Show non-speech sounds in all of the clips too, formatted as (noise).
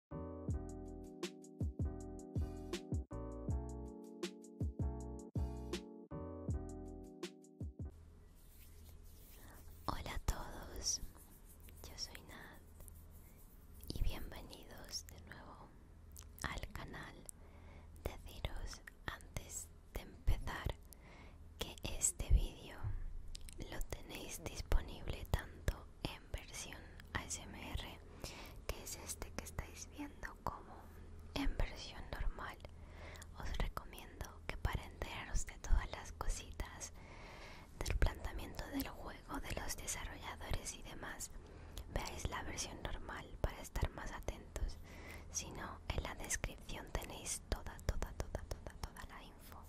Hola a todos, yo soy Nat y bienvenidos de nuevo al canal. Deciros antes de empezar que este vídeo lo tenéis disponible tanto en versión ASMR, que es este que estáis viendo como en versión normal. Os recomiendo que para enteraros de todas las cositas del planteamiento del juego, de los desarrolladores y demás, veáis la versión normal para estar más atentos. sino en la descripción tenéis toda, toda, toda, toda, toda la info.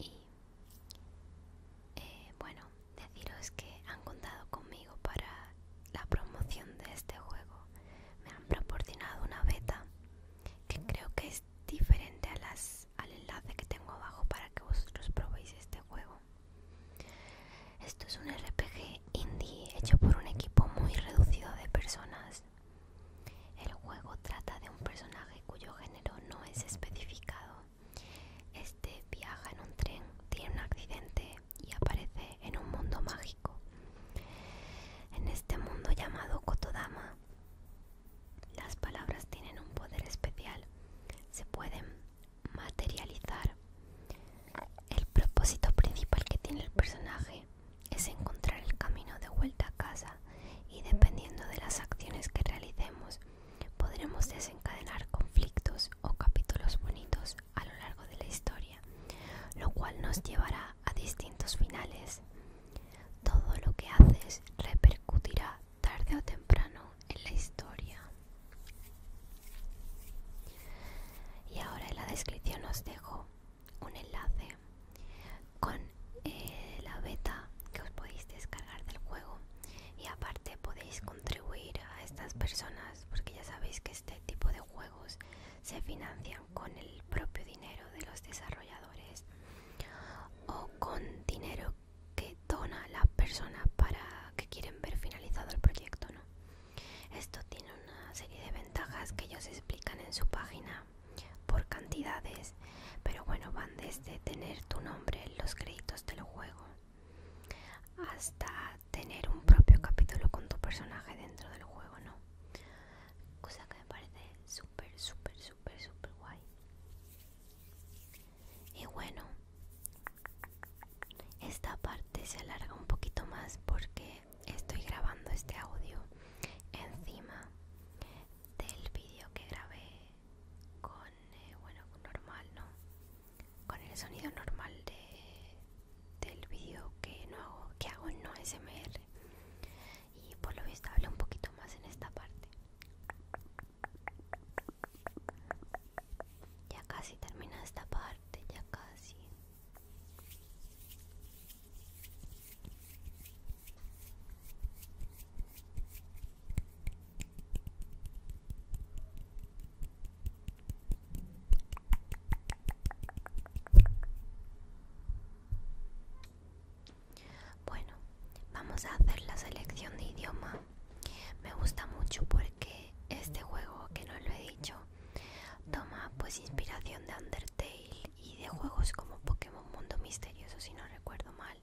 Y eh, bueno, deciros que han contado conmigo para la promoción de este juego. Me han proporcionado una beta que creo que es diferente a las, al enlace que tengo abajo para que vosotros probéis este juego. Esto es un RPG indie hecho por un equipo muy reducido de personas. El juego trata de un personaje cuyo género no es especificado este viaja en un tren, tiene un accidente y aparece en un mundo mágico. En este mundo llamado Kotodama, las palabras tienen un poder especial. Se pueden materializar. El propósito principal que tiene el personaje es encontrar el camino de vuelta a casa y dependiendo de las acciones que realicemos Podremos desencadenar conflictos o capítulos bonitos a lo largo de la historia, lo cual nos llevará a distintos finales. Todo lo que haces repercutirá tarde o temprano en la historia. Y ahora en la descripción os dejo un enlace con eh, la beta que os podéis descargar del juego y aparte podéis contribuir a estas personas porque ya sabéis que este tipo de juegos se financian con el propio dinero de los desarrolladores o con dinero que dona la persona para que quieren ver finalizado el proyecto esto tiene una serie de ventajas que ellos explican en su página por cantidades pero bueno, van desde tener tu nombre en los créditos del juego hasta tener un propio capítulo con tu personaje dentro del juego, ¿no? Cosa que me parece súper, súper, súper, súper guay. Y bueno, esta parte se alarga un poquito más porque estoy grabando este audio encima del vídeo que grabé con eh, bueno normal no con el sonido normal de, del vídeo que no hago que hago en no smr y por lo visto hablo un poquito más en esta parte ya casi termina esta parte ya casi bueno, vamos a hacer la selección de idioma. Me gusta mucho porque este juego, que no lo he dicho, toma pues inspiración de Undertale y de juegos como Pokémon Mundo Misterioso, si no recuerdo mal.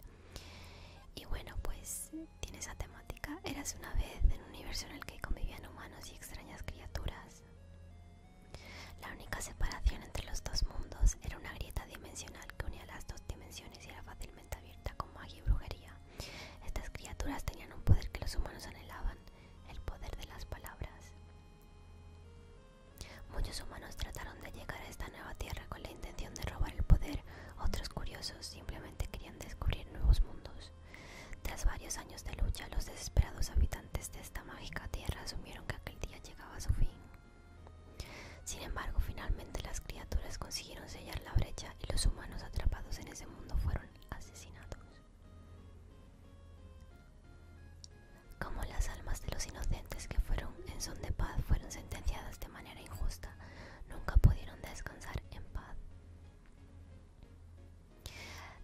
Y bueno, pues tiene esa temática. Eras una vez en un universo en el que convivían humanos y extrañas criaturas. La única separación entre los dos mundos era una grieta dimensional que unía las dos dimensiones y era fácilmente abierta con magia y brujería. Estas criaturas tenían un poder que los humanos anhelaban, el poder de las palabras. Muchos humanos trataron de llegar a esta nueva tierra con la intención de robar el poder, otros curiosos simplemente querían descubrir nuevos mundos. Tras varios años de lucha, los desesperados habitantes de esta mágica tierra asumieron que aquel día llegaba a su fin. Sin embargo, finalmente las criaturas consiguieron sellar la brecha y los humanos atrapados en ese mundo fueron asesinados. Como las almas de los inocentes que fueron en son de paz fueron sentenciadas de manera injusta, nunca pudieron descansar en paz.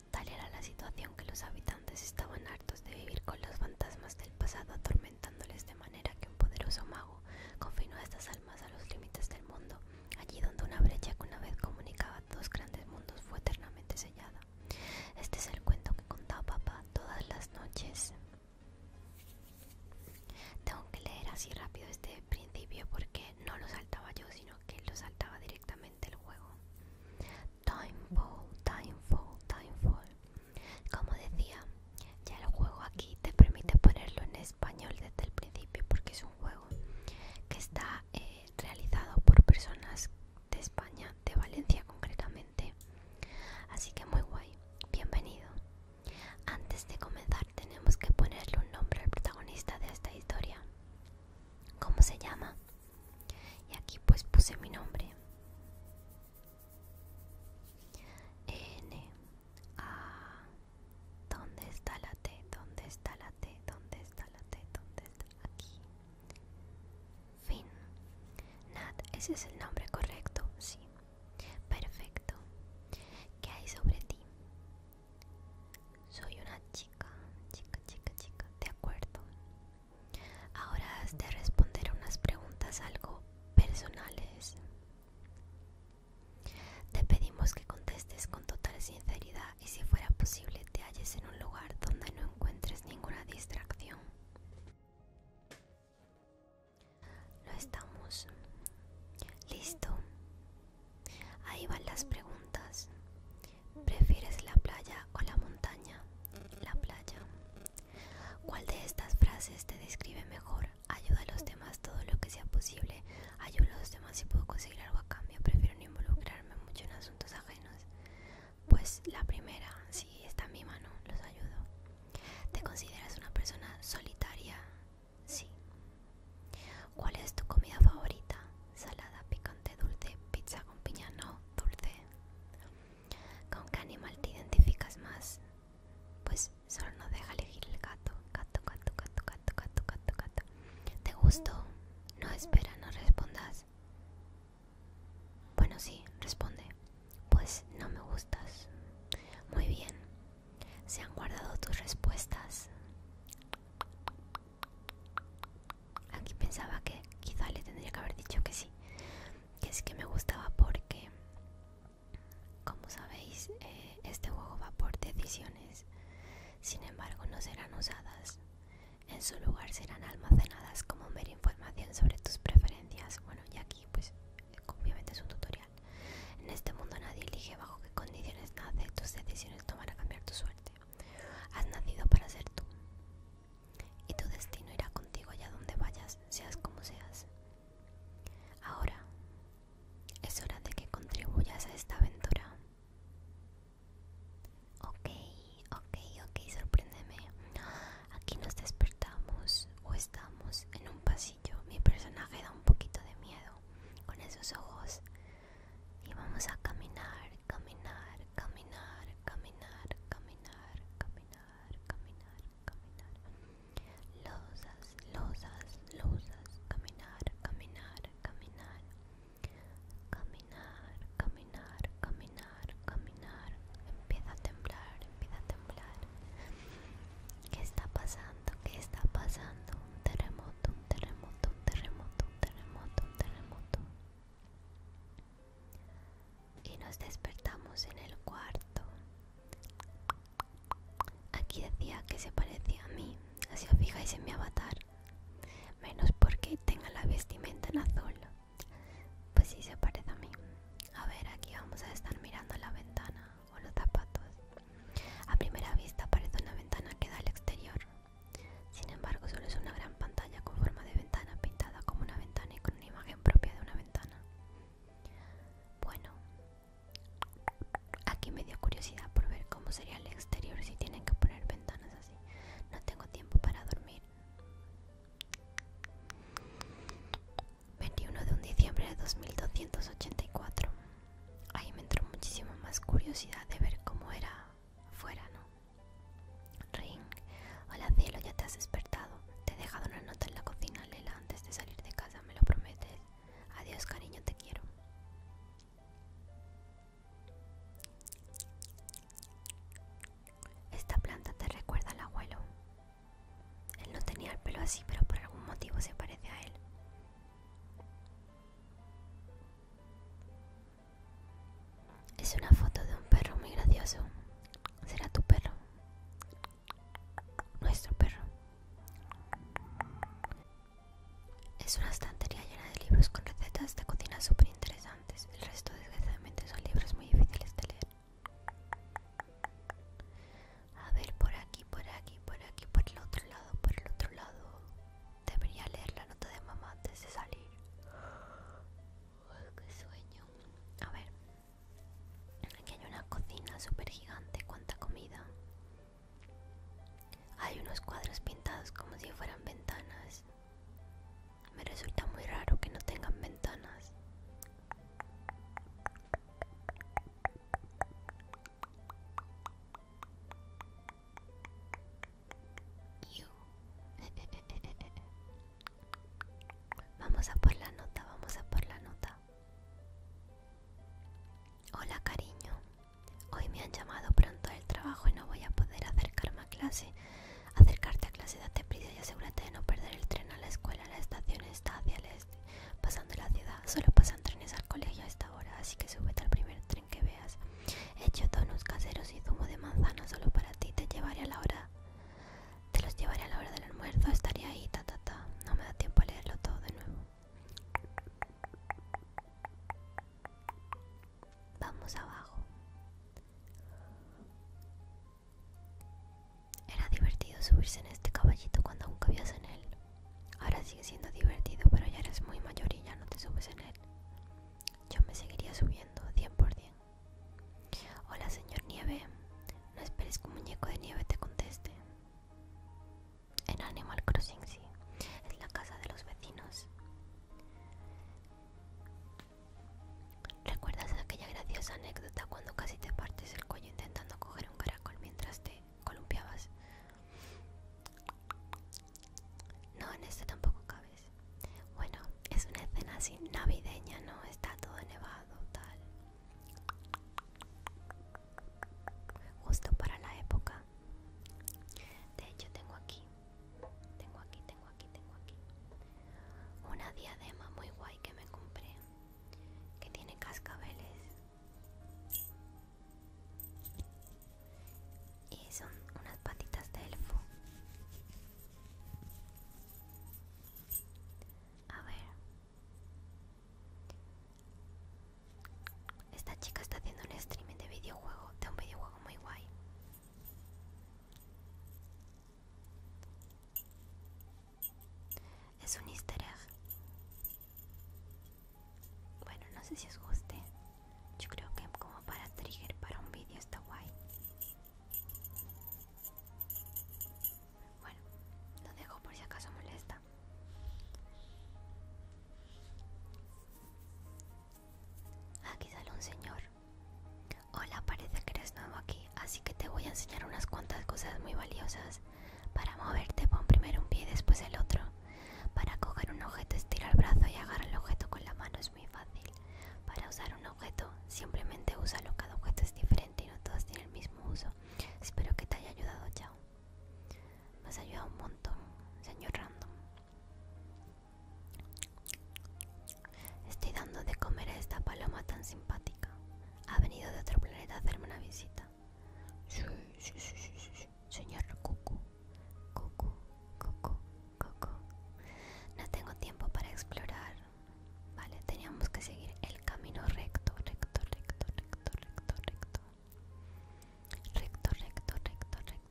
Tal era la situación que los habitantes estaban hartos de vivir con los fantasmas del pasado atormentándoles de manera que un poderoso mago confinó a estas almas a los límites del mundo, allí donde una brecha que una vez comunicaba dos grandes mundos fue eternamente sellada. Este es el cuento que contaba papá todas las noches. Tengo que leer así rápido este principio porque no lo saltaba yo, sino que lo saltaba directamente el juego. Timefall, time timefall. Como decía, ya el juego aquí te permite ponerlo en español desde el principio porque es un juego que está eh, realizado por personas de España, de Valencia concretamente Así que muy guay, bienvenido. Antes de comenzar tenemos que ponerle un nombre al protagonista de esta historia. ¿Cómo se llama? Y aquí pues puse mi nombre. N A ¿Dónde está la T? ¿Dónde está la T? ¿Dónde está la T? ¿Dónde está? Aquí. Fin. Nat, ese es el nombre correcto, sí. Perfecto. ¿Qué hay sobre ti? Soy una chica, chica, chica, chica, de acuerdo. Ahora has de responder unas preguntas algo personales. Te pedimos que contestes con total sinceridad y si fuera posible te halles en un lugar donde no encuentres ninguna distracción. Lo estamos. Listo. Ahí van las preguntas. ¿Prefieres la playa o la montaña? La playa. ¿Cuál de estas frases te describe mejor? Ayuda a los demás todo lo que sea posible. Ayuda a los demás si puedo conseguir algo a cambio. Prefiero no involucrarme mucho en asuntos ajenos. Pues la primera, si está en mi mano, los ayudo. ¿Te consideras una persona solitaria? Sí. ¿Cuál es tu comida favorita? Salada, picante, dulce, pizza con piña, no, dulce. ¿Con qué animal te identificas más? Pues solo no deja elegir el gato. Gato, gato, gato, gato, gato, gato, gato. ¿Te gustó? No espera, no respondas. Bueno, sí, responde. Pues no me gustas. Muy bien. Se han guardado tus respuestas. Aquí pensaba que quizá le tendría que haber dicho que sí. Que es que me gustaba porque, como sabéis, eh, este juego va por decisiones. Sin embargo, no serán usadas. En su lugar serán almacenadas como mera información sobre tus preferencias y aquí pues obviamente es un tutorial en este mundo nadie elige bajo qué condiciones nace tus decisiones tomará a cambiar tu suerte has nacido para ser tú y tu destino irá contigo allá donde vayas seas como seas ahora es hora de que contribuyas a esta aventura ok ok, ok, sorpréndeme. Aquí nos despertamos o estamos en un pasillo. Mi personaje da un poquito de miedo con esos ojos. Y vamos a caminar, caminar, caminar, caminar, caminar, caminar, caminar, caminar. Losas, losas, losas, caminar, caminar, caminar. Caminar, caminar, caminar caminar, caminar, empieza a temblar, empieza a temblar. ¿Qué está pasando? ¿Qué está pasando? Un terremoto, un terremoto, un terremoto, un terremoto, un terremoto. Y nos despertamos en el cuarto. Aquí decía que se parecía a mí, así os fijáis en mi avatar, menos porque tenga la vestimenta en azul. Pues sí se parece a mí. A ver, aquí vamos a estar mirando la ventana o los zapatos. A primera vista parece una ventana que da al exterior. Sin embargo, solo es una gran pantalla con forma de ventana pintada como una ventana y con una imagen propia de una ventana. Bueno, aquí me dio curiosidad por ver cómo sería el exterior si tienen que poner ventanas así. No tengo tiempo para dormir. 21 de diciembre de 2284. Ahí me entró muchísimo más curiosidad de ver cómo era fuera, ¿no? Ring, hola cielo, ya te has despertado. Te he dejado una nota en la cocina, Lela, antes de salir de casa, me lo prometes. Adiós, cariño, te quiero. Esta planta te recuerda al abuelo. Él no tenía el pelo así, pero por algún motivo se parece a él. Es una foto de un perro muy gracioso. Será tu perro. Nuestro perro. Es una estantería llena de libros con recetas de cocina súper interesantes. El resto, desgraciadamente, son libros muy difíciles de leer. A ver, por aquí, por aquí, por aquí, por el otro lado, por el otro lado. Debería leer la nota de mamá antes de salir. ¡Qué sueño! A ver. Aquí hay una cocina súper gigante. ¿Cuánta comida? Hay unos cuadros pintados como si fueran ventanas. Me resulta muy raro que no tengan ventanas. (laughs) vamos a por la nota, vamos a por la nota. Hola cariño, hoy me han llamado pronto al trabajo y no voy a poder acercarme a clase acercarte a clase de prisa y asegúrate de no perder el tren a la escuela la estación está hacia el este pasando la ciudad solo pasan trenes al colegio a esta hora así que súbete al primer tren que veas he hecho donuts caseros y zumo de manzana solo para ti te llevaré a la hora te los llevaré a la hora del almuerzo estaré ahí ta ta ta no me da tiempo a leerlo todo de nuevo Vamos abajo. Era divertido subirse en este caballito cuando aún cabías en él. Ahora sigue siendo divertido, pero ya eres muy mayor y ya no te subes en él. Yo me seguiría subiendo, 100 por 100. Hola, señor Nieve. No esperes que un muñeco de nieve te conteste. En Animal Crossing, sí. Es la casa de los vecinos. ¿Recuerdas aquella graciosa anécdota cuando casi te partes el cuello intentando coger un caracol mientras te columpiabas? No, en esto tampoco cabes. Bueno, es una escena así navideña, ¿no? Está todo nevado, tal. Justo para la época. De hecho, tengo aquí tengo aquí, tengo aquí, tengo aquí. Una diadema muy guay que me compré. Que tiene cascabeles. Y son unas patitas de elfo. A ver. Esta chica está haciendo un streaming de videojuego, de un videojuego muy guay. Es un easter egg. Bueno, no sé si os guste. Yo creo que como para trigger para un vídeo está guay. Bueno, lo dejo por si acaso molesta. Aquí sale un señor Hola, parece que eres nuevo aquí, así que te voy a enseñar unas cuantas cosas muy valiosas. Para moverte pon primero un pie y después el otro. Para coger un objeto estira el brazo y agarra el objeto con la mano, es muy fácil. Para usar un objeto simplemente úsalo, cada objeto es diferente y no todos tienen el mismo uso. Espero que te haya ayudado, chao. Me has ayudado un montón, señor Random. Estoy dando de comer a esta paloma tan simpática. Ha venido de otro planeta a hacerme una visita. Sí, sí, sí, sí, Señor Cucu. Cucu, Cucu, Cucu. No tengo tiempo para explorar. Vale, teníamos que seguir el camino recto, recto, recto, recto, recto, recto. Recto, recto, recto, recto,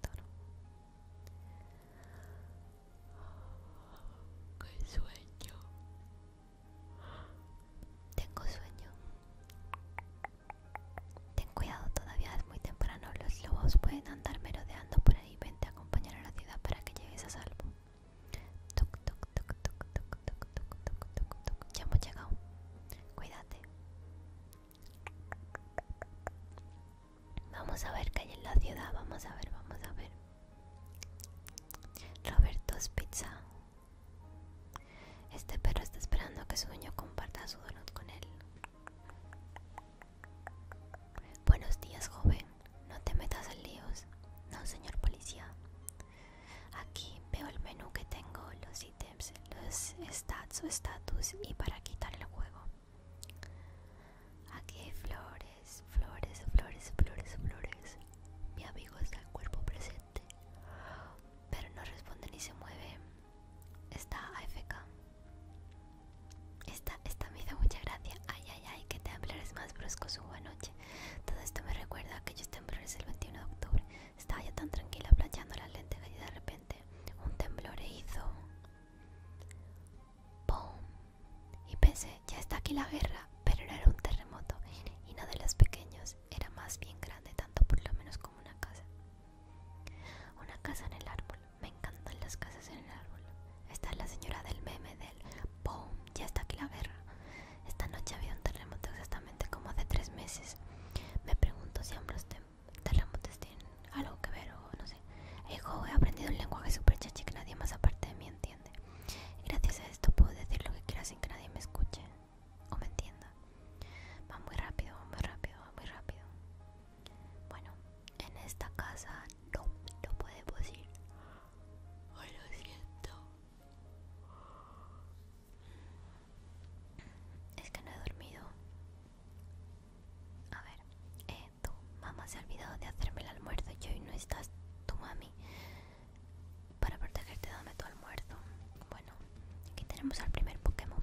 tengo sueño! Tengo sueño. Ten cuidado, todavía es muy temprano. Los lobos pueden andar merodeando por ahí. ven a acompañar a la ciudad para que llegues a salvo. Ya hemos llegado. Cuídate. Vamos a ver qué hay en la ciudad. Vamos a ver, vamos a ver. Roberto's Pizza. Este perro está esperando que su dueño comparta su donut con él. Buenos días, joven. No te metas en líos. No, señor policía. Aquí veo el menú que tengo, los ítems, los stats o status y para quitar el juego. Aquí hay flores, flores, flores, flores, flores. Mi amigo está en cuerpo presente, pero no responde ni se mueve. Está AFK. Esta, esta me hizo mucha gracia. Ay, ay, ay, que temblores más bruscos hubo noche. Todo esto me recuerda a aquellos temblores el 21 de octubre. Estaba ya tan tranquila planchando las lentes y de repente un temblor e hizo Boom. Y pensé, ya está aquí la guerra, pero no era un terremoto y no de los pequeños, era más bien grande, tanto por lo menos como una casa. Una casa en el árbol, me encantan las casas en el árbol. Esta es la señora del meme del Ya está aquí la guerra. Esta noche había un terremoto exactamente como hace tres meses. Me pregunto si ambos tal las tienen algo que ver o no sé. he aprendido un lenguaje super chachi que nadie más aparte de mí entiende. Gracias a esto puedo decir lo que quiera sin que nadie me escuche o me entienda. Va muy rápido, va muy rápido, va muy rápido. Bueno, en esta casa no, no podemos ir. Ay, lo siento. Es que no he dormido. A ver, eh, tu mamá se ha olvidado de hacerme el almuerzo y hoy no estás tu mami. Para protegerte dame tu almuerzo. Bueno, aquí tenemos al primer Pokémon.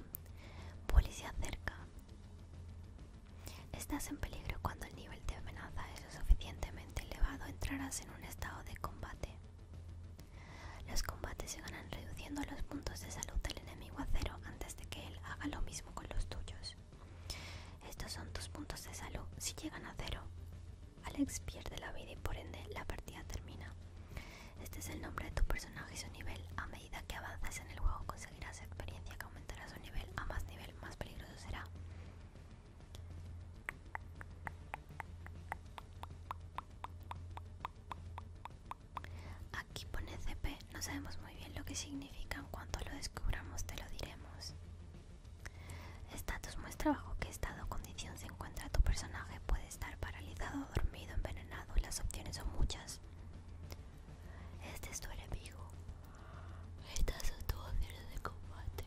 Policía cerca. Estás en peligro cuando el nivel de amenaza es lo suficientemente elevado, entrarás en un estado de combate. Los combates se ganan reduciendo los puntos de salud del enemigo a cero antes de que él haga lo mismo con los tuyos. Estos son tus puntos de salud. Si llegan a cero, Alex pierde la vida y por ende la partida termina. Este es el nombre de tu personaje y su nivel. A medida que avanzas en el juego conseguirás experiencia que aumentará su nivel. A más nivel, más peligroso será. Aquí pone CP, no sabemos muy bien lo que significa, en cuanto lo descubramos te lo diremos. Estatus muestra bajo qué estado o condición se encuentra tu personaje, puede estar paralizado, dormido, envenenado, las opciones son muchas. Este es tu enemigo. Estas son tus opciones de combate.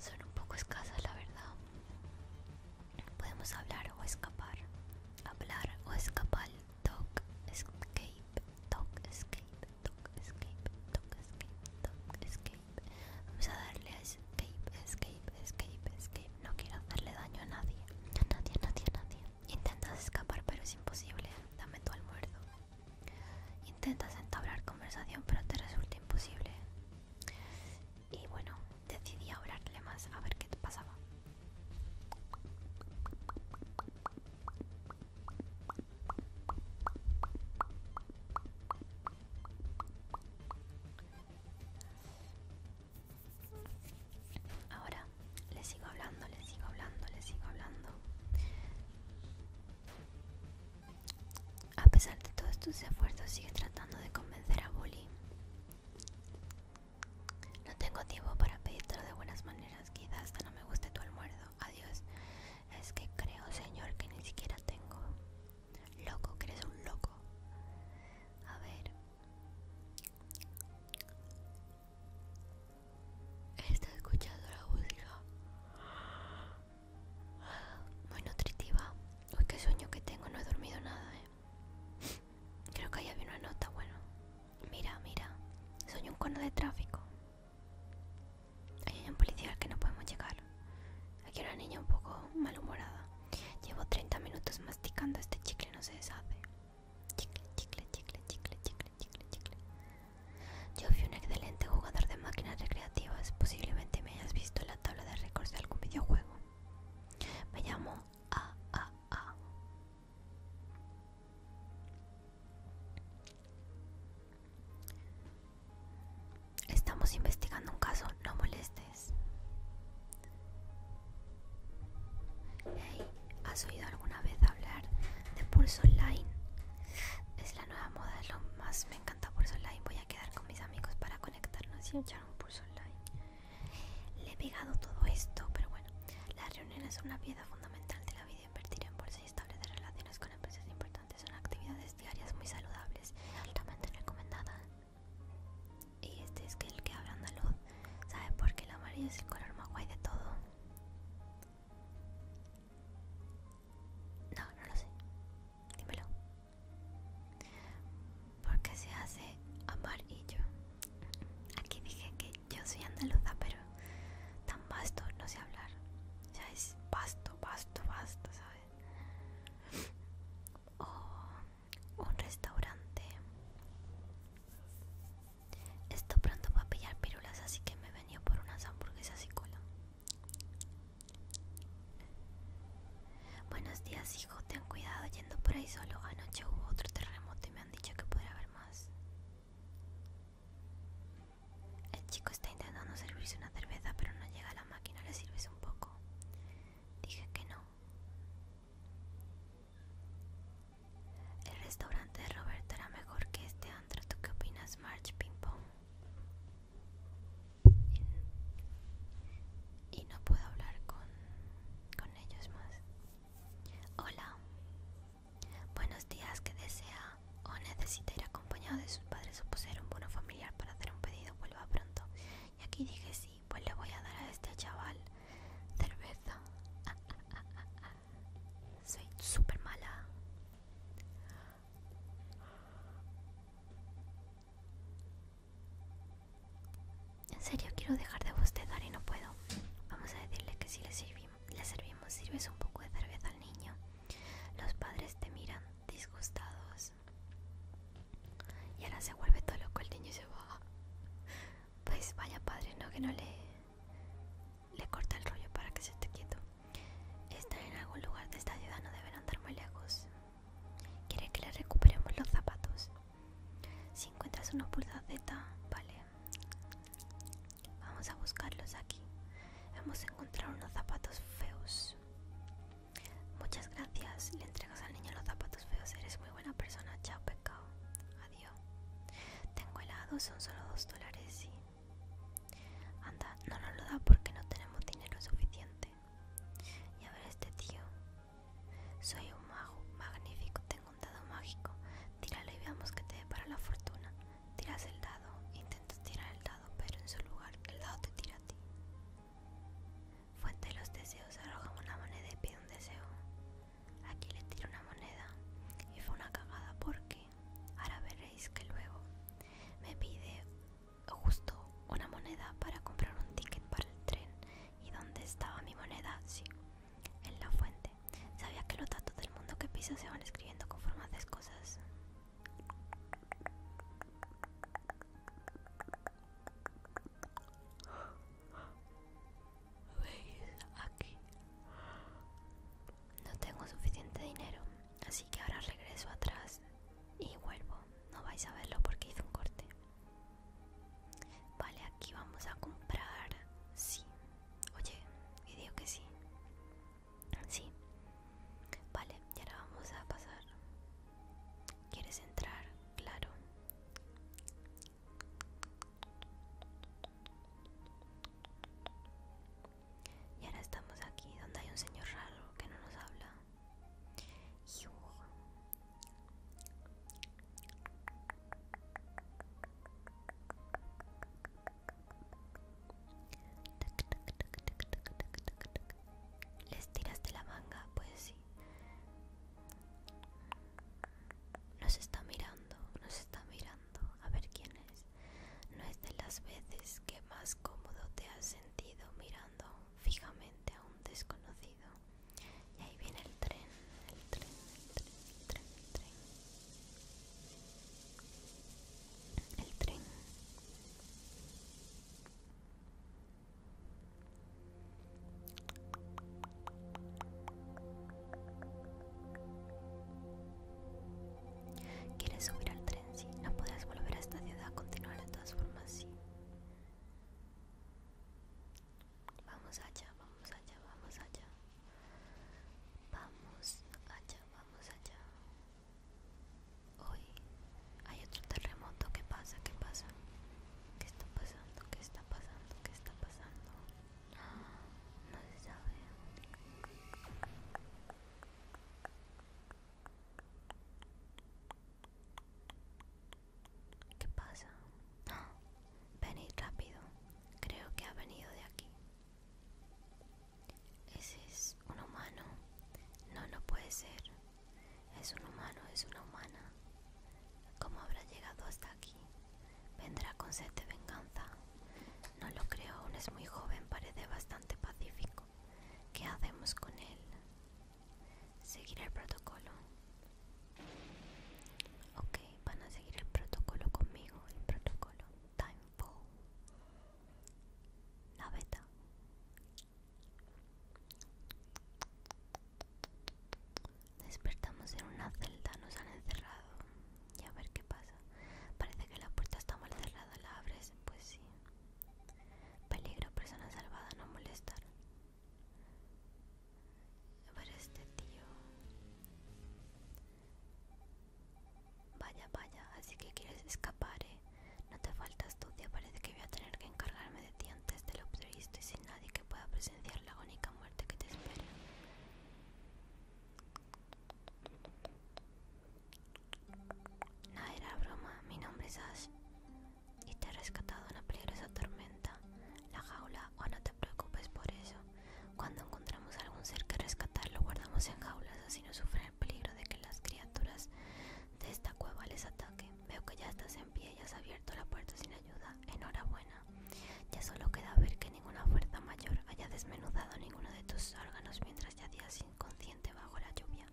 Son un poco escasas la verdad. Podemos hablar o escapar. Hablar o escapar Dog Escape, Dog Escape, Dog Escape, Dog Escape, Dog Escape. Vamos a darle a Escape, Escape, Escape, Escape. No quiero hacerle daño a nadie, a nadie, a nadie, a nadie. Intentas escapar, pero es imposible. Dame tu almuerzo. Intentas entablar conversación, pero te resulta imposible. Y bueno, decidí hablarle más a ver qué te pasaba. Ahora le sigo hablando, le sigo hablando, le sigo hablando. A pesar de todos tus esfuerzos, sigue tratando de convencer a Bully no tengo tiempo para pedirte de buenas maneras. Quizás hasta no me guste tu almuerzo. Adiós. Es que creo, señor, que ni siquiera tengo. Loco, que eres un loco. A ver. Estoy escuchando la música. Muy nutritiva. Uy, qué sueño que tengo. No he dormido nada, eh. Creo que ahí había una nota, bueno. Mira, mira. Soy un cono de tráfico. hay un policía al que no podemos llegar. Aquí hay una niña un poco malhumorada. Llevo 30 minutos masticando este chicle, no se deshace. Chicle, chicle, chicle, chicle, chicle, chicle, chicle. Yo fui un excelente jugador de máquinas recreativas. Posiblemente me hayas visto en la tabla de récords de algún videojuego. Me llamo Estamos investigando un caso, no molestes. ¿has oído alguna vez hablar de Pulso Online? Es la nueva moda, lo más me encanta Pulso Online. Voy a quedar con mis amigos para conectarnos y echar un Pulso Online. Le he pegado todo esto, pero bueno, las reuniones son una piedra fundamental de la vida. Invertir en bolsa y establecer relaciones con empresas importantes son actividades diarias muy saludables, altamente recomendadas. Y este es el que habla andaluz, ¿sabe por qué el amarillo es el color más guay de todo? No, no lo sé. Dímelo porque se hace amarillo. Aquí dije que yo soy andaluza, pero tan basto no sé hablar. Ya es vasto, basto, basto ¿sabes? O un restaurante. Estoy pronto va pillar pirulas, así que me he venido por unas hamburguesas y cola. Buenos días, hijo. Ten cuidado yendo por ahí solo. Anoche hubo otro terremoto y me han dicho que puede haber más. El chico está intentando servirse una cerveza, pero no llega a la máquina. ¿Le sirves un poco? Dije que no. El restaurante de Roberto era mejor que este antro. ¿Tú qué opinas, March Ping Pong? Y no puedo hablar con, con ellos más. Hola. Buenos días, que desea o necesita ir acompañado de sus padres o poseer un bono familiar para hacer un pedido, vuelva pronto. Y aquí dije sí, pues le voy a dar a este chaval cerveza. (laughs) Soy súper mala. En serio, quiero dejar de bostezar y no puedo. Vamos a decirle que si le, servimos, le servimos, sirves un poco de cerveza al niño. Los padres te miran disgustados. Y ahora se vuelve todo loco el niño y se va. Pues vaya padre, ¿no? Que no le, le corta el rollo para que se esté quieto. Estar en algún lugar de esta ciudad no deben andar muy lejos. Quiere que le recuperemos los zapatos? Si encuentras unos pulsa Z, vale. Vamos a buscarlos aquí. Hemos encontrado unos zapatos feos. Muchas gracias. Le entregas al niño los zapatos feos. Eres muy buena persona. Chao, pecado. Adiós. Tengo helado. Son solo dos dólares. Sí. Anda, no nos lo da porque no tenemos dinero suficiente. Y a ver este tío. Soy un mago, magnífico, tengo un dado mágico. Tíralo y veamos qué te depara la fortuna. Tiras el dado, intentas tirar el dado, pero en su lugar el dado te tira a ti. Fuente de los deseos, arroja una moneda y pide un deseo. Aquí le tiro una moneda y fue una cagada porque ahora veréis que luego me pide justo una moneda para comprar un ticket para el tren ¿Y dónde estaba mi moneda? Sí, en la fuente. Sabía que los datos del mundo que piso se van escribiendo con formas de cosas? Aquí. No tengo suficiente dinero, así que ahora regreso atrás y vuelvo. No vais a verlo porque hice un corte. Vale, aquí vamos a comprar. Sí. Oye, y digo que sí. Sí. Vale, y ahora vamos a pasar. ¿Quieres entrar? Claro. Y ahora estamos aquí donde hay un señor raro que no nos habla. ¿Les tiraste la manga? Pues sí. Nos está mirando, nos está mirando. A ver quién es. No es de las veces que más cómodo te has sentido mirando fijamente a un desconocido. Y ahí viene el tren, el tren, el tren, el tren, el tren. El tren. ¿Quieres subir al tren? Sí. No podrás volver a esta ciudad. Continuar de todas formas, Vamos allá, vamos allá, vamos allá. Vamos allá, vamos allá. Hoy hay otro terremoto. ¿Qué pasa? ¿Qué pasa? ¿Qué está pasando? ¿Qué está pasando? ¿Qué está pasando? No se sabe. ¿Qué pasa? Venid rápido. Creo que ha venido de aquí. Ese es un humano. No, no puede ser. Es un humano, es una humana. ¿Cómo habrá llegado hasta aquí? Vendrá con sed de venganza. No lo creo, aún es muy joven, parece bastante pacífico. ¿Qué hacemos con él? Seguir el protocolo. Ok, van a seguir el protocolo conmigo. El protocolo Timefall. La beta. Despertamos en una celda, nos han encerrado. Y a ver qué pasa. Parece que la puerta está mal cerrada, la abres, pues sí. Peligro, persona salvada, no molestar. Pero este tío... Vaya, vaya, así que quieres escapar, eh. No te falta astucia, parece que voy a tener que encargarme de ti antes de lo previsto y sin nadie que pueda presenciar la única muerte que te espera. No era broma, mi nombre es Ash y te ha rescatado una peligrosa tormenta, la jaula, o oh, no te preocupes por eso. Cuando encontramos algún ser que rescatar, lo guardamos en jaulas, así no sufren el peligro de que las criaturas de esta cueva les ataque. Veo que ya estás en pie y has abierto la puerta sin ayuda. Enhorabuena. Ya solo queda ver que ninguna fuerza mayor haya desmenuzado ninguno de tus órganos mientras ya yacías inconsciente bajo la lluvia.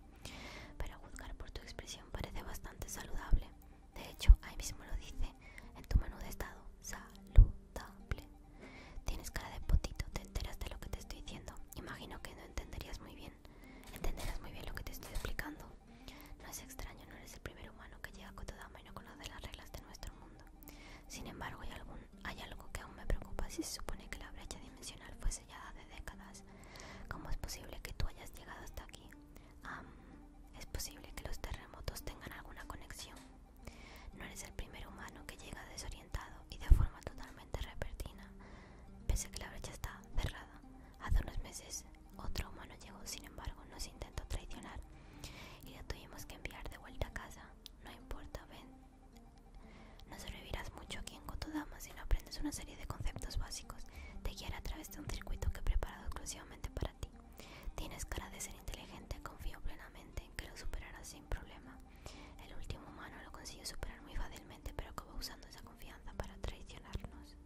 Pero a juzgar por tu expresión parece bastante saludable. De hecho, ahí mismo lo dice en tu menú de estado. Saludable. Tienes cara de potito, te enteras de lo que te estoy diciendo. Imagino que no entenderías muy bien. Entenderás muy bien lo que te estoy explicando. No es extraño, no eres el primer humano que llega a toda y no conoce las reglas de nuestro mundo. Sin embargo, hay, hay algo que aún me preocupa si se supone que la brecha dimensional fuese ya de décadas. ¿Cómo es posible que tú hayas llegado hasta aquí? es posible que los terremotos tengan alguna conexión. No eres el primer humano que llega desorientado y de forma totalmente repentina, pese a que la brecha está cerrada. Hace unos meses otro humano llegó, sin embargo, nos intentó traicionar y lo tuvimos que enviar de vuelta a casa. No importa, ven. No sobrevivirás mucho aquí en Kotodama, si no aprendes una serie de conceptos básicos, te guiará a través de un circuito que he preparado exclusivamente para ti. Tienes cara de ser inteligente, confío plenamente en que lo superarás sin problema. El último humano lo consiguió superar muy fácilmente, pero acaba usando esa confianza para traicionarnos.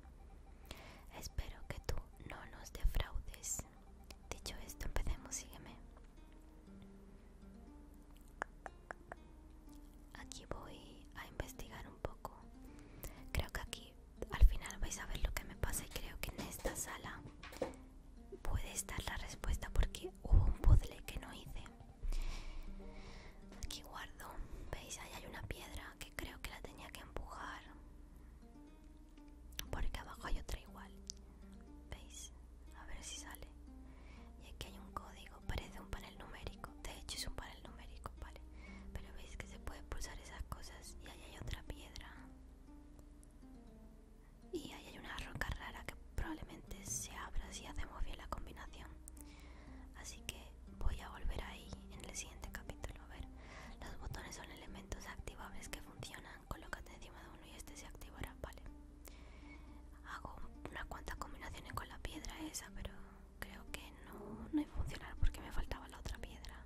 Espero que tú no nos defraudes. Dicho esto, empecemos, sígueme aquí voy a investigar un poco creo que aquí al final vais a ver lo que me pasa y creo que en esta sala puede estar la respuesta porque hubo un puzzle que no hice aquí guardo veis ahí hay una piedra que creo que la tenía que empujar porque abajo hay otra igual veis a ver si sale y aquí hay un código parece un panel numérico, de hecho es un panel numérico, vale, pero veis que se puede pulsar esas cosas y ahí hay otra piedra y ahí hay una roca rara que probablemente se abra si hacemos bien la combinación, así que voy a volver ahí en el siguiente capítulo, a ver, los botones son elementos activables que funcionan, colócate encima de uno y este se activará, vale. Hago unas cuantas combinaciones con la piedra esa, pero creo que no, no iba funcionar porque me faltaba la otra piedra.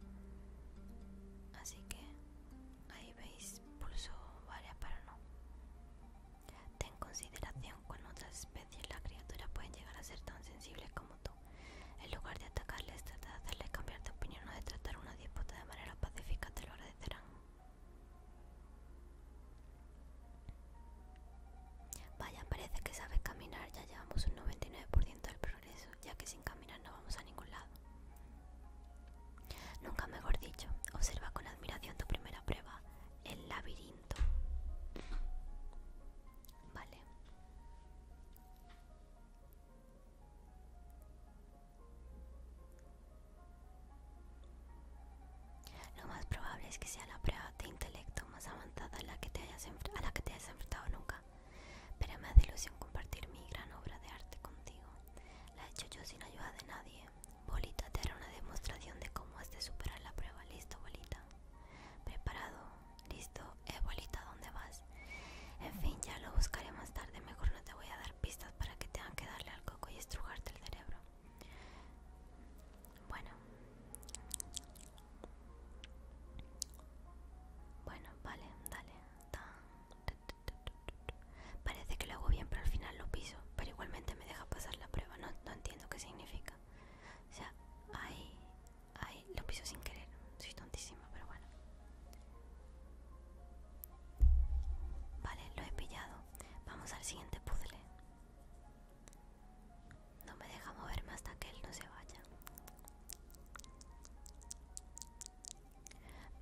Así que ahí veis, pulso varias para no. Ten consideración cuando otras especies, las criaturas pueden llegar a ser tan sensibles como tú. En lugar de atacarles, trata de hacerles cambiar de opinión o de tratar una disputa de manera pacífica, te lo agradecerán. Vaya, parece que sabes caminar, ya llevamos un 99% del progreso, ya que sin caminar no vamos a ningún lado. Nunca mejor dicho, observa con admiración tu primera prueba, el laberinto. Vale. Lo más probable es que sea la prueba de intelecto más avanzada a la que te hayas, a la que te enfrentado nunca. Pero me da ilusión compartir mi gran obra de arte contigo. La he hecho yo sin ayuda de nadie. Bolita te hará una demostración de cómo has de superar la prueba. ¿Listo, Bolita? ¿Preparado? ¿Listo? Eh, Bolita, ¿dónde vas? En fin, ya lo buscaré más tarde. Mejor no te voy a dar pistas para que te que darle al coco y estrujarte el cerebro. Bueno. Bueno, vale, dale. Parece que lo hago bien, pero al final lo piso. Pero igualmente me deja pasar la prueba. No, entiendo qué significa. O sea, ahí, ahí lo piso sin querer. Soy tontísima, pero bueno. Vale, lo he pillado. Vamos al siguiente puzzle. No me deja moverme hasta que él no se vaya.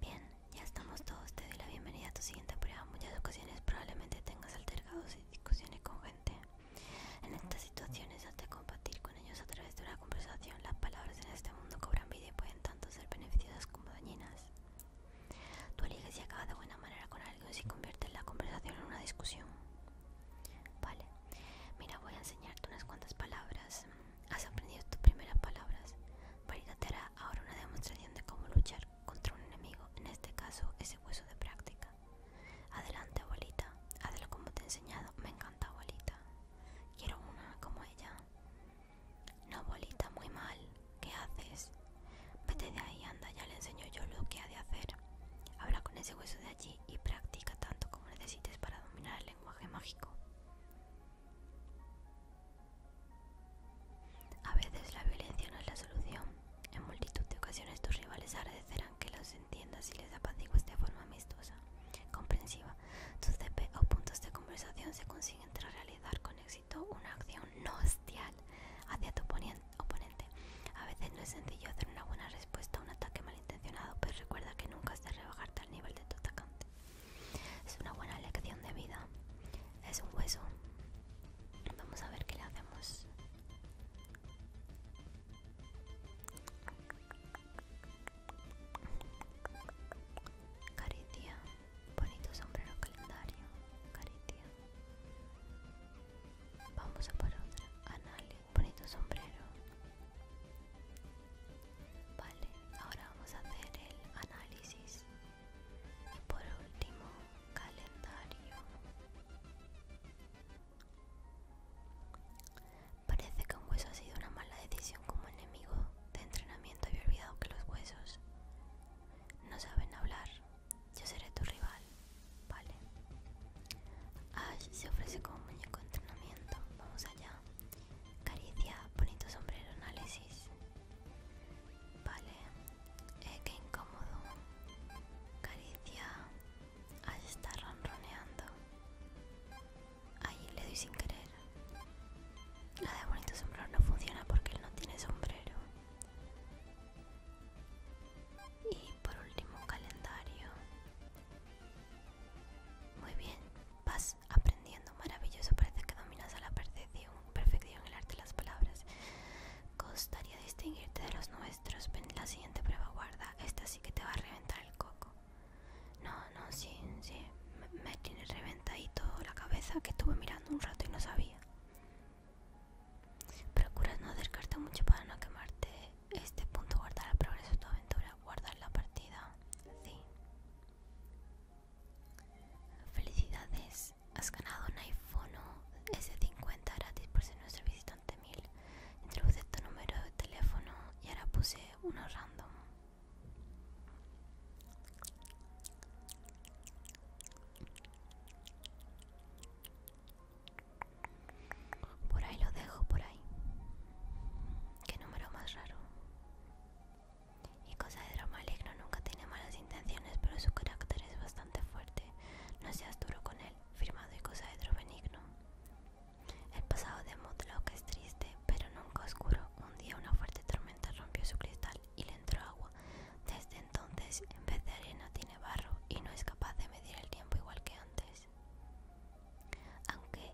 Bien, ya estamos todos. Te doy la bienvenida a tu siguiente prueba. muchas ocasiones probablemente tengas altercados y discusiones con gente. En estas situaciones, antes de compartir con ellos a través de una conversación. Las palabras en este mundo cobran vida y pueden tanto ser beneficiosas como dañinas. Tu eliges y acaba de buena manera con si así convierte la conversación en una discusión. Vale, mira, voy a enseñarte unas cuantas palabras. Mm, has aprendido tus primeras palabras. Marita te hará ahora una demostración de cómo luchar contra un enemigo, en este caso ese hueso de práctica. Adelante, abuelita, hazlo como te he enseñado. Me encanta, abuelita. Quiero una como ella. No, abuelita, muy mal. ¿Qué haces? Vete de ahí, anda, ya le enseño yo lo que ha de hacer. Habla con ese hueso de allí y practica tanto como necesites para dominar el lenguaje mágico. A veces la violencia no es la solución. En multitud de ocasiones tus rivales agradecerán que los entiendas y les apacigues de forma amistosa, comprensiva. Tus CP o puntos de conversación se consiguen tras realizar con éxito una acción no hostial hacia tu oponente oponente. A veces no es sencillo hacer una buena respuesta a un ataque malintencionado, pero recuerda que nunca has de rebajarte al nivel de tu atacante. Es una buena lección de vida. Es un hueso. Vamos a ver qué le hacemos. Caricia, bonito sombrero calendario. Caricia Vamos a por otra. bonito ah, sombrero. Vale, ahora vamos a hacer el análisis. Y por último, calendario. Parece que un hueso ha sido una mala decisión como enemigo de entrenamiento. Había olvidado que los huesos no saben hablar. Yo seré tu rival, ¿vale? Ash se ofrece como muñeco de entrenamiento. Vamos allá. Caricia, bonito sombrero, análisis. Vale. Eh, qué incómodo. Caricia. Ash está ronroneando. Ahí le doy sin querer. La de bonito sombrero no funciona porque él no tiene sombrero y por último calendario muy bien vas aprendiendo maravilloso parece que dominas a la perfección perfección el arte de las palabras costaría distinguirte de los nuestros ven la siguiente prueba guarda esta sí que te va a reventar el coco no no sí sí me tiene reventadito la cabeza que estuve mirando un rato y no sabía Procura no acercarte mucho para no quemarte. Este punto guardar el progreso de tu aventura, guardar la partida. Felicidades, has ganado un iPhone S50 gratis por ser nuestro visitante 1000. Introduce tu número de teléfono y ahora puse uno random. Por ahí lo dejo, por ahí. Qué número más raro. Y cosa de drama maligno, nunca tiene malas intenciones, pero su carácter es bastante fuerte. No seas duro con él, firmado y cosa de droga benigno. El pasado de Mudlock es triste, pero nunca oscuro. Un día una fuerte tormenta rompió su cristal y le entró agua. Desde entonces, en vez de arena, tiene barro y no es capaz de medir el tiempo igual que antes. Aunque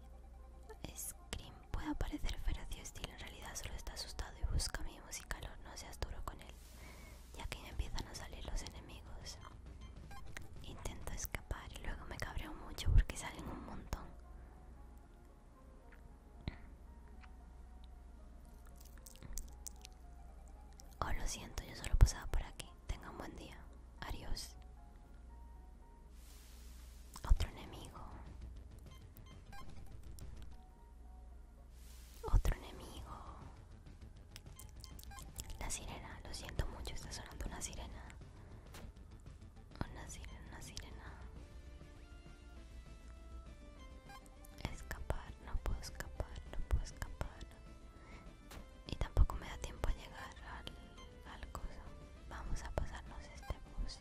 Scream pueda parecer feroz y en realidad solo está asustado y busca mi música, no seas duro con él, ya que empiezan a salir los enemigos. Intento escapar y luego me cabreo mucho porque salen un montón. Oh, lo siento, yo solo pasaba por aquí. Tenga un buen día. Adiós. Otro enemigo. Otro enemigo. La sirena, lo siento mucho, está sonando una sirena. Una sirena, una sirena escapar, no puedo escapar, no puedo escapar. Y tampoco me da tiempo a llegar al, al coso. Vamos a pasarnos este bus.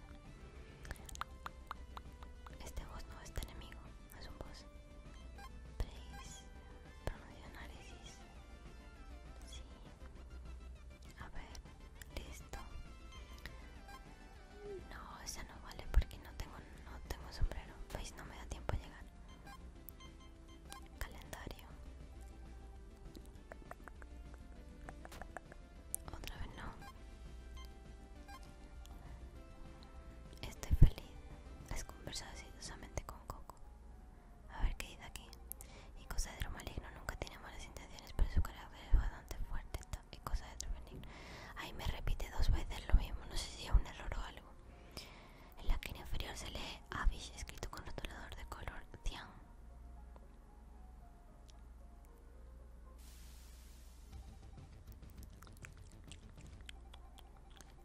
Este boss no, es enemigo, es un boss. análisis. Sí. A ver, listo. No, esa no vale porque no tengo, no tengo sombrero. Pues no me da tiempo a llegar. Calendario. Otra vez no. Estoy feliz. Has conversado exitosamente con Coco. A ver qué dice aquí. Y cosa de lo maligno nunca tiene malas intenciones, pero su carácter es bastante fuerte de Ahí me repite dos veces lo mismo, no sé si es un error o algo. En la esquina inferior se lee avis escrito con rotulador de color cian.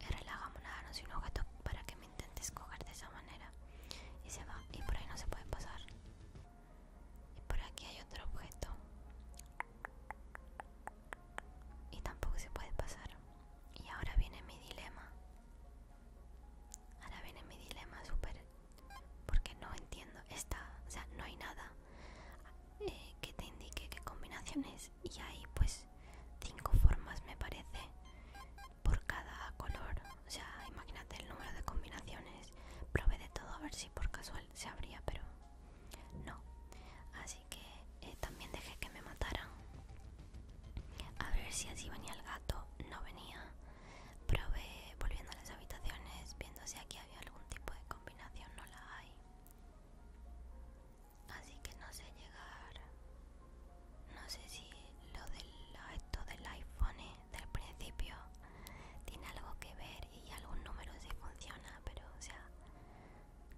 no y un objeto para que me intentes coger de esa manera. Y se va, y por ahí no se puede pasar. Y por aquí hay otro objeto y tampoco se puede pasar y ahora viene mi dilema ahora viene mi dilema súper porque no entiendo esta o sea no hay nada eh, que te indique qué combinaciones y hay pues cinco formas me parece por cada color o sea imagínate el número de combinaciones probé de todo a ver si por casual se abría pero no, así que eh, también dejé que me mataran. A ver si así venía el gato, no venía. Probé volviendo a las habitaciones, viendo si aquí había algún tipo de combinación, no la hay. Así que no sé llegar. No sé si lo del esto del iPhone eh, del principio tiene algo que ver y algún número sí funciona, pero o sea,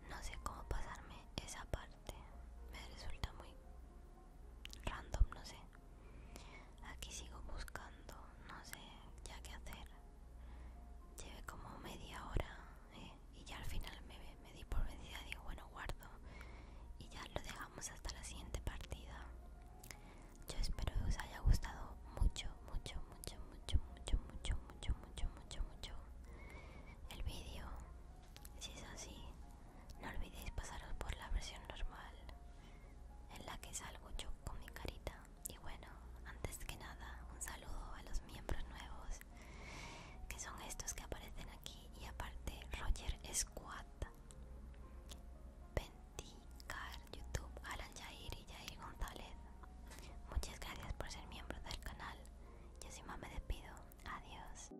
no sé cómo pasarme esa parte. Me resulta muy random, no sé. Aquí sigo buscando, no sé ya qué hacer. Lleve como media hora ¿eh? y ya al final me, me di por vencida. Digo, bueno, guardo y ya lo dejamos hasta la siguiente partida. Yo espero que os haya gustado mucho, mucho, mucho, mucho, mucho, mucho, mucho, mucho, mucho, mucho el vídeo. Si es así, no olvidéis pasaros por la versión normal en la que salgo yo con mi carita. Y bueno, antes que nada, un saludo a los miembros nuevos, que son estos que aparecen aquí. Y aparte, Roger Squad, Penticar, YouTube Alan Jair y Jair González. Muchas gracias por ser miembro del canal. Yo así más me despido. Adiós.